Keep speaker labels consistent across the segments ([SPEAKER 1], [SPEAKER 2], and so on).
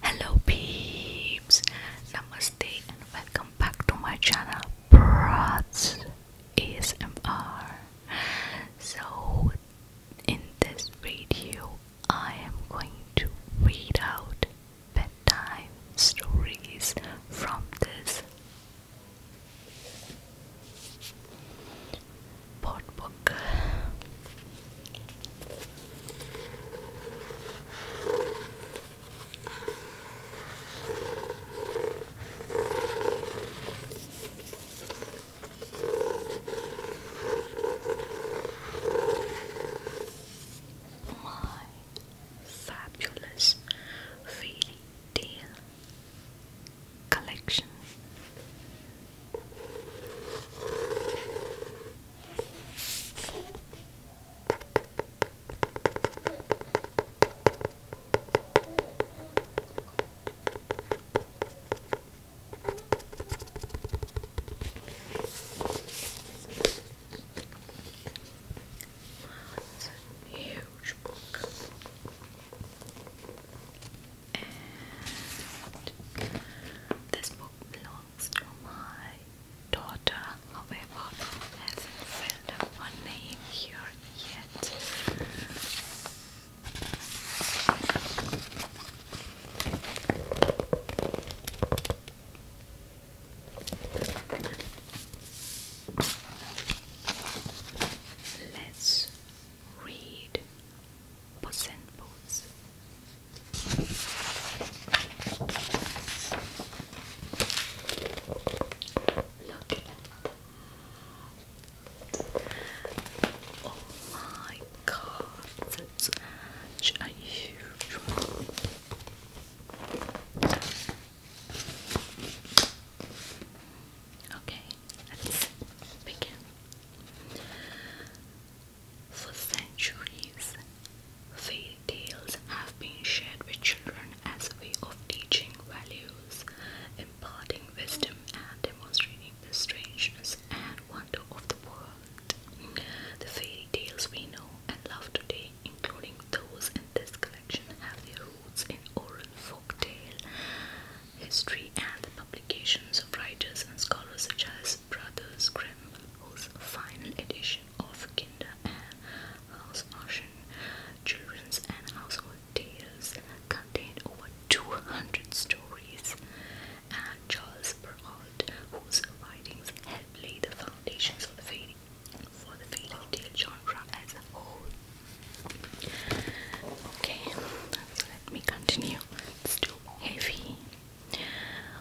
[SPEAKER 1] Hello peeps, namaste and welcome back to my channel Brats ASMR. So in this video I am going to read out bedtime stories from this pot book. My fabulous fairy tale collection. Wow, it's a huge book this book belongs to my daughter, however, hasn't filled up name here yet. Let's read Puss in Boots Oh my god, that's such a huge one. Okay, let's begin. For centuries, fairy tales have been shared with children as a way of teaching values, imparting wisdom, and demonstrating the strangeness and wonder of the world. The fairy tales we know and love today, including those in this collection, have their roots in oral folk tale history and the publications of writers and scholars such as Brothers Grimm, whose final edition of Kinder and House Children's and Household Tales contained over 200 stories, and Charles Perrault, whose writings helped lay the foundations for the fairy, tale genre as a whole. Okay, let me continue. It's too heavy.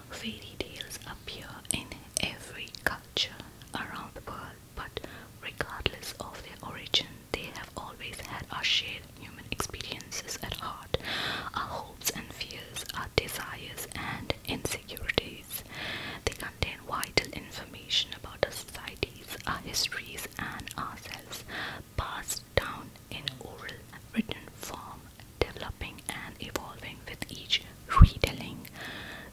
[SPEAKER 1] Fairy tales appear in every culture around the world, but regardless of their origin, they have always had our shared human experiences at heart, our hopes and fears, our desires and insecurities. They contain vital information about our societies, our histories, and ourselves, passed down in oral written form, developing and evolving with each retelling.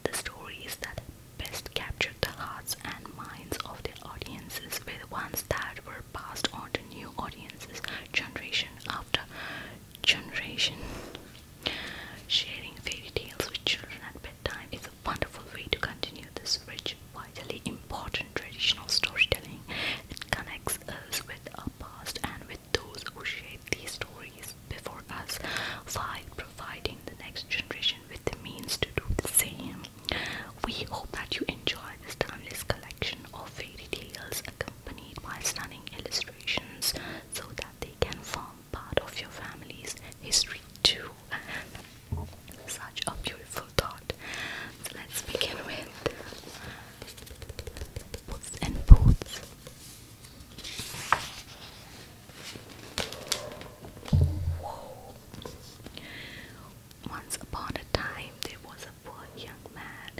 [SPEAKER 1] The stories that best capture the hearts and minds of the audiences With the ones that were passed on to new audiences generation after generation. Sharing fairy tales with children at bedtime is a wonderful way to continue this rich, vitally important traditional storytelling it connects us with our past and with those who shape these stories before us while providing the next generation with the means to do the same. We hope that you enjoy this timeless collection of fairy tales accompanied by stunning illustrations so that they can form part of your family's history too. Such a beautiful thought. So let's begin with Puss Boots. Once upon a time, there was a poor young man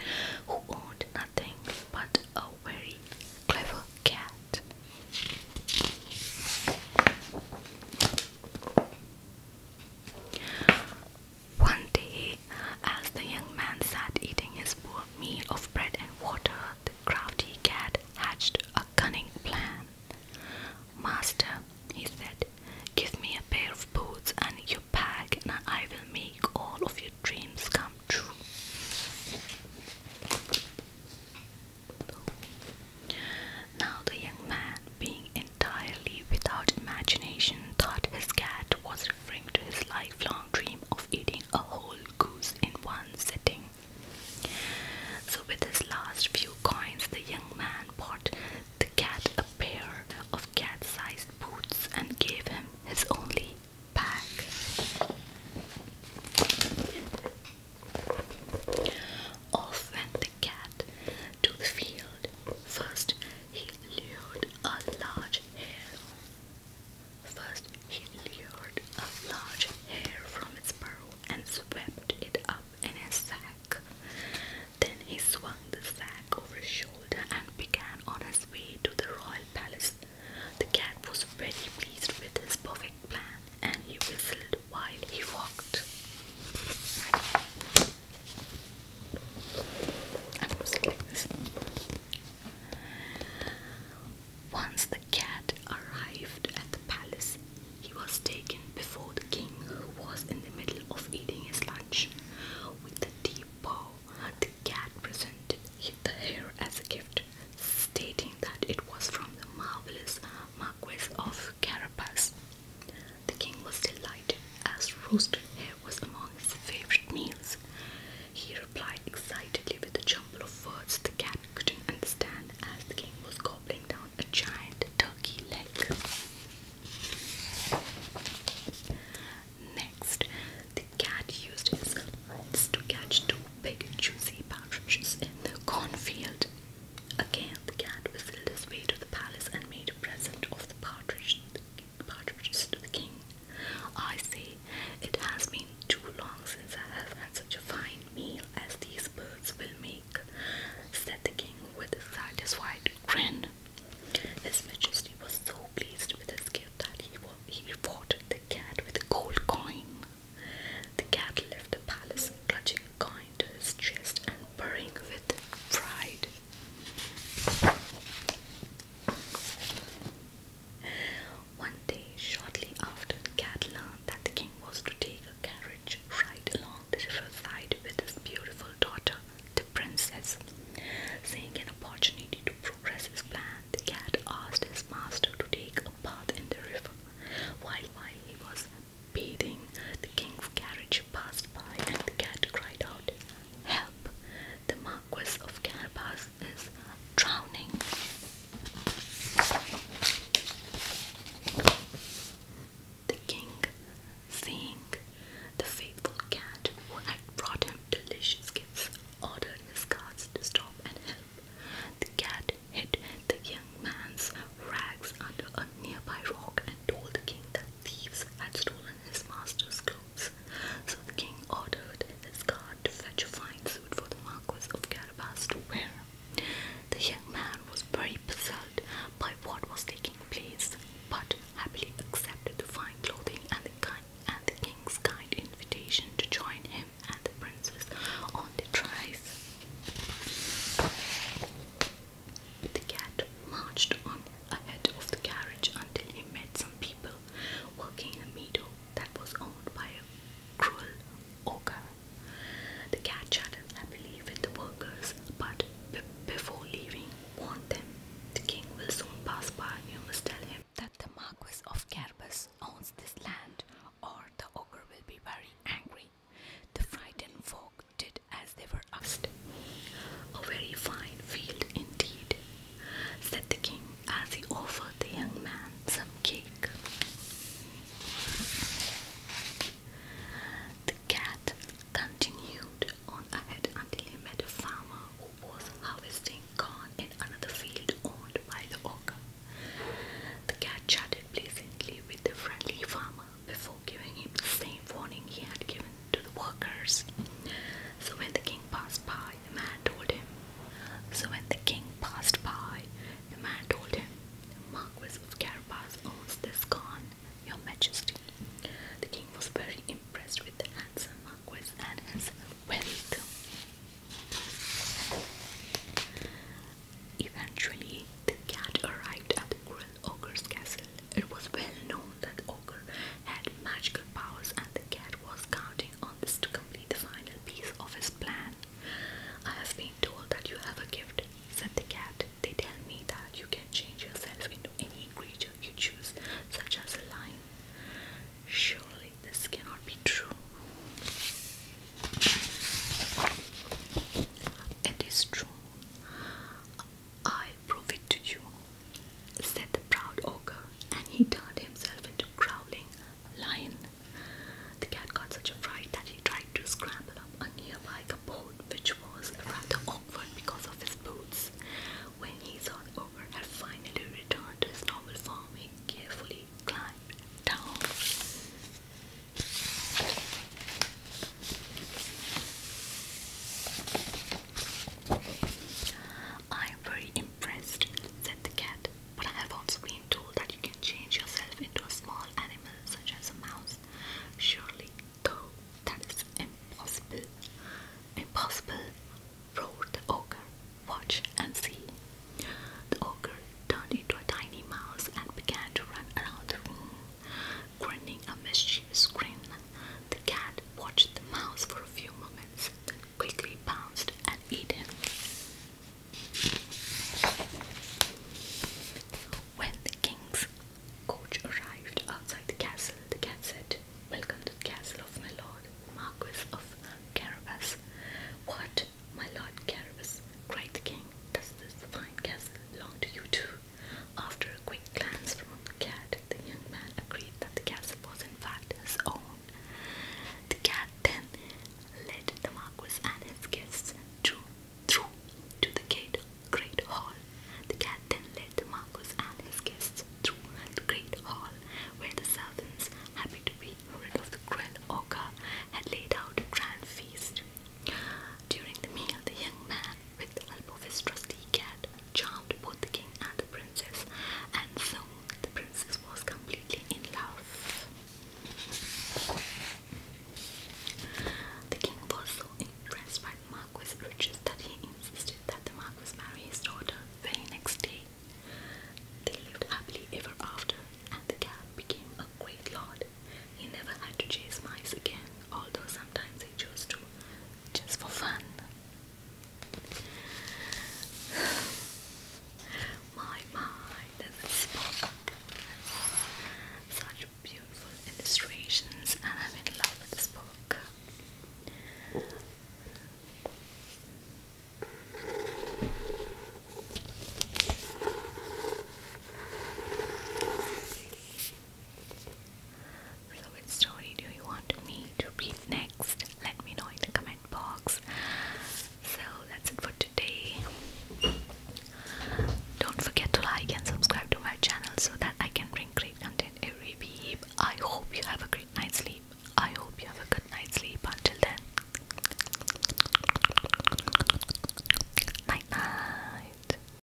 [SPEAKER 1] who owned nothing but a very clever cat. One day, as the young man sat eating his poor meal of bread and water, the crafty cat hatched a cunning plan. Master, he said, give me a pair of boots and your pack, and I will make all of your dreams come true. Now the young man being entirely without imagination, thought his cat was referring to his lifelong dream of eating a whole goose in one sitting. So, with his last few coins, the young man bought the cat a pair of cat sized boots and gave him his only pack. Off went the cat to the field. First, he lured a large hare. First, he lured a large hare from its burrow and swept it up in a sack. Then he swung the sack over his shoulder and began on his way to the royal palace. The cat was very pleased with his perfect plan and he whistled while he walked. Once the cat arrived at the palace, he was taken before the king, who was in the middle of eating his lunch. With a deep bow, the cat presented him the hair as a gift, stating that it was from the marvelous Marquis of Carabas. The king was delighted, as roasted hare was among his favorite meals. He replied excitedly with a jumble of words the cat couldn't understand, as the king was gobbling down a giant turkey leg. Next, the cat used his horns to catch two big, juicy partridges in the cornfield. Again, the cat whistled his way to the palace and made a present of the partridge partridges to the king. I say, it has been too long since I have had such a fine meal as these birds will make, said the king with a satisfied grin. His majesty was so pleased with his gift that he, he rewarded the cat with a gold coin. The cat left the palace, clutching a coin to his chest and purring with pride. One day, shortly after, the cat learned that the king was to take a carriage right along the river side with his beautiful daughter, the princess. Seeing an opportunity to progress his plan, the cat asked his master to take a bath in the river. While while he was bathing, the king's carriage passed by, and the cat cried out, Help! The Marquis of Carabas is drowning. The king, seeing the faithful cat who had brought him delicious gifts, ordered his guards to stop and help. The cat hid the young man's rags under a nearby rock and told the king that thieves had stolen his master's clothes, so the king ordered his guard to fetch a fine suit for the Marquis of Carabas to wear. The young man was very puzzled by what was taking place, but happily accepted the fine clothing and the, king's kind invitation to join him and the princess on the prize. The cat marched on ahead of the carriage until he met some people working in a meadow that was owned by a cruel ogre. The cat chatted happily with the workers, but before leaving, warned them the king will soon pass by. You must tell him that the Marquis of Carbus owns this land, or the ogre will be very angry. The frightened folk did as they were asked. A very fine field indeed, said the king as he offered the young man some cake. The cat continued on ahead until he met a farmer who was harvesting corn in another field owned by the ogre. The cat chatted pleasantly with the friendly farmer before giving him the same warning he had given to the workers. So when the king passed by, the man told him. So when the king passed by, the man told him, The Marquis of Carabas owns this gone, Your Majesty. The king was very impressed with the handsome Marquis and his wealth. Eventually, the cat arrived at the grill ogre's castle. It was well known that ogre had magical powers and the cat was counting on this to complete the final piece of his plan. I have been told that you have a gift, said the cat. They tell me that you can change yourself into any creature you choose, such as a lion. Surely this cannot be true. It is true. I prove it to you, said the proud ogre, and he turned himself into a growling lion. The cat got such a fright that he tried to scramble up a nearby cupboard, which was rather awkward because of his boots. When he saw over, ogre had finally returned to his normal form, and carefully climbed down. I'm very impressed, said the cat, but I have also been told that you can change yourself into a small animal such as a mouse. Surely, though, that is impossible. Impossible, roared the ogre. Watch and see. The ogre turned into a tiny mouse and began to run around the room. Grinning a mischievous grin, the cat watched the mouse for a few moments, then quickly pounced and ate it. When the king's coach arrived outside the castle, the cat said, Welcome to the castle of my lord, Marquis of Carabas. What, my lord Carabas? cried the king. Does this fine castle belong to you too? After a quick glance from the cat, the young man agreed that the castle was in fact his own. The cat then led the Marquis and his guests to, through to the great hall. The cat then led the Marquis and his guests through the great hall, where the servants, happy to be rid of the cruel ogre, had laid out a grand feast. During the meal, the young man, with the help of his trusty cat, charmed both the king and the princess, and soon the princess was completely in love. The king was so impressed by the Marquis's riches that he insisted that the Marquis marry his daughter the very next day. They lived happily ever after, and the cat became a great lord. He never had to chase mice again, although sometimes he chose to, just for fun. My, my, this is book. Such beautiful illustrations, and I'm in love with this book. So which story do you want me to read next? Let me know in the comment box. So that's it for today. Don't forget to like and subscribe to my channel so that I can bring great content every week. I hope you have a great night's sleep. I hope you have a good night's sleep. Until then, night